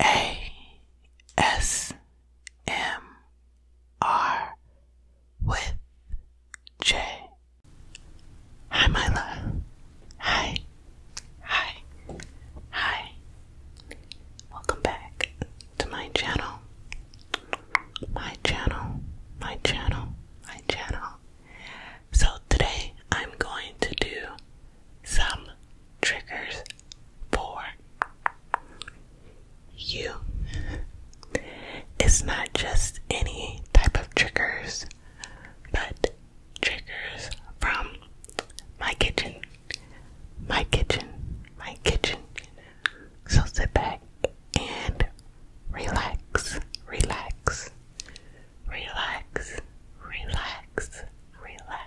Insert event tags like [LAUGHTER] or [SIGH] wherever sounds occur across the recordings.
A S M R with J. Hi, my Hi. Hi. Hi. Welcome back to my channel. My channel. My channel. My channel. So today I'm going to do some triggers for you. It's not just any type of triggers, but triggers from my kitchen, my kitchen, my kitchen. So sit back and relax, relax, relax, relax, relax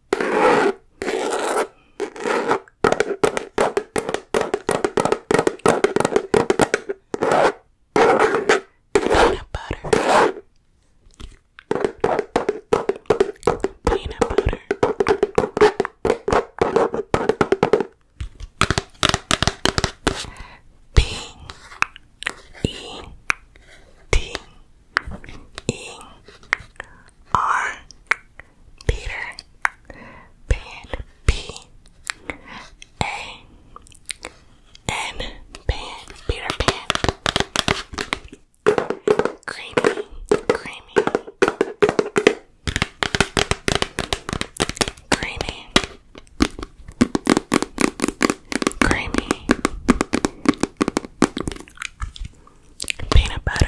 Peanut butter. Peanut butter. P E T E R Peter Pan P A N Pan Peter Pan Creamy Creamy Creamy Creamy peanut butter. Peanut butter.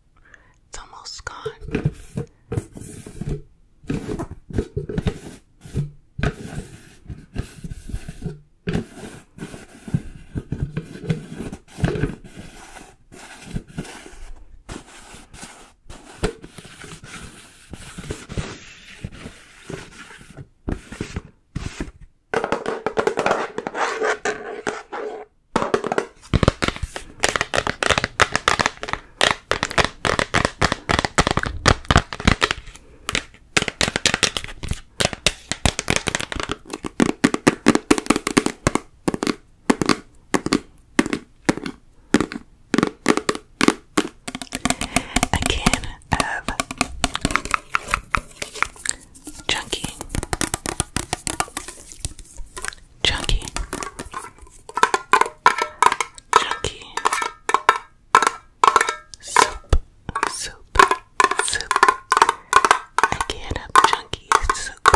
it's almost gone. A can of junkie Chunky. Chunky. Soup. Soup. Soup. I can't have chunky soup.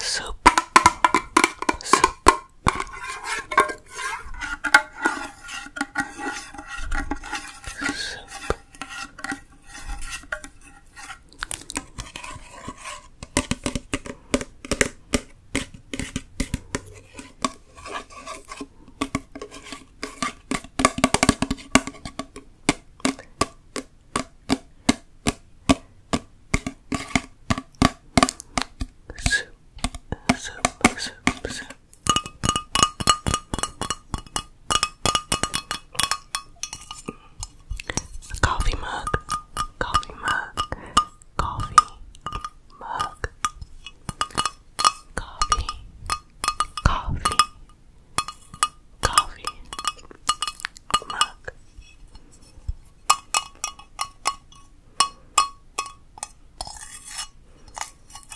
Soup, soup. Soup. Soup, soup, soup, soup. A coffee mug, coffee mug, coffee mug, coffee, coffee, coffee mug.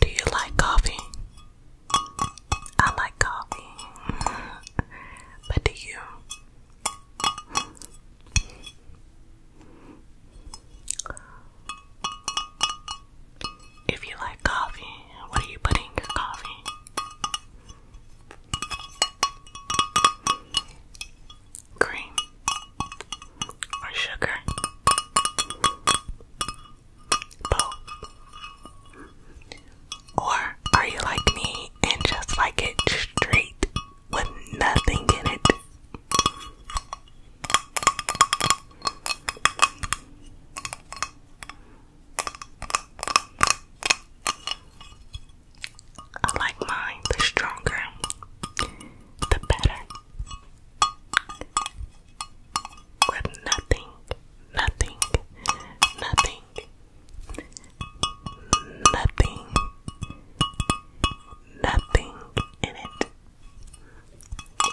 Do you like coffee? I like coffee. [LAUGHS] but do you? If you like coffee, what do you put in your coffee? Cream or sugar? Both. Or are you like me and just like it straight with nothing in it? I like mine the stronger, the better. With nothing, nothing, nothing, nothing, nothing in it.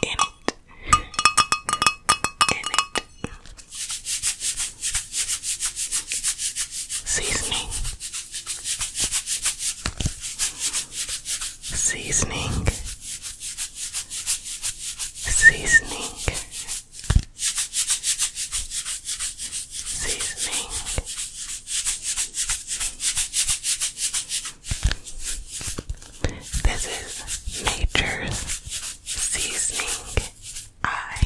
Any Seasoning. Seasoning. Seasoning. Seasoning. This is Nature's Seasoning I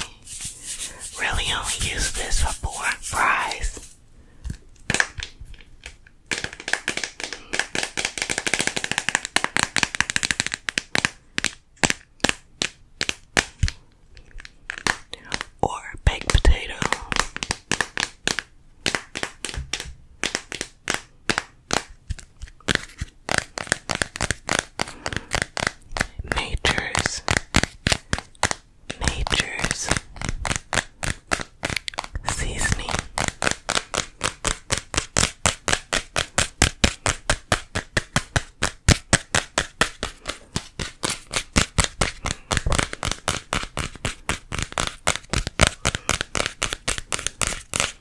really only use this for four fries. Or baked potato. Majors, majors, seasoning.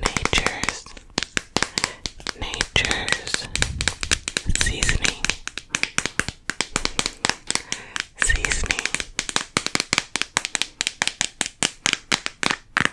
Nature's Nature's seasoning seasoning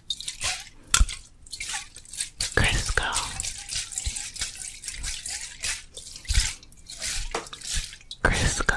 Crisco Crisco Crisco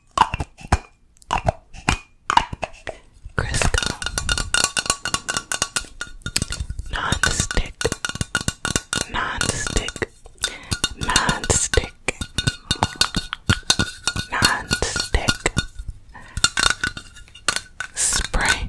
Crisco non-stick non-stick spray spray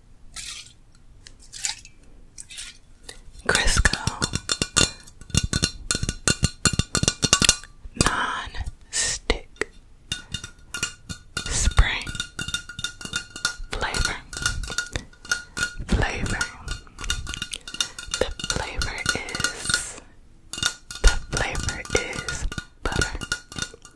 Crisco non-stick flavor flavor the flavor is the flavor is butter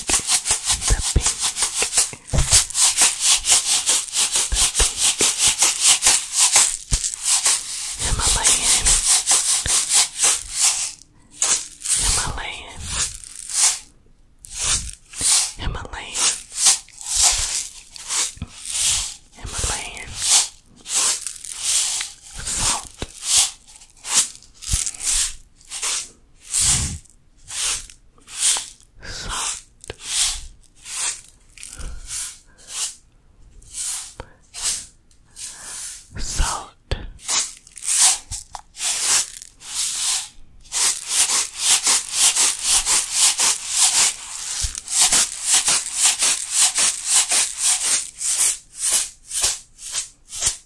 the pink, the pink, Himalayan, Himalayan, Himalayan, Himalayan, salt soft salt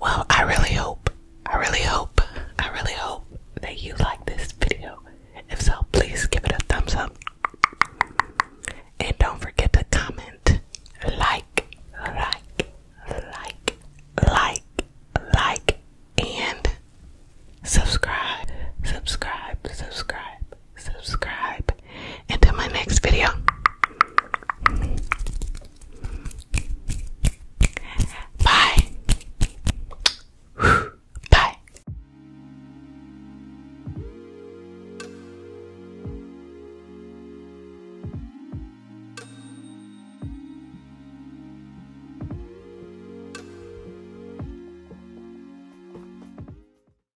Well, I really hope, I really hope, I really hope that you like this video. If so, please give it a thumbs up. And don't forget to comment, like, like, like, like, like, and subscribe, subscribe, subscribe, subscribe, until my next video. Bye. Bye.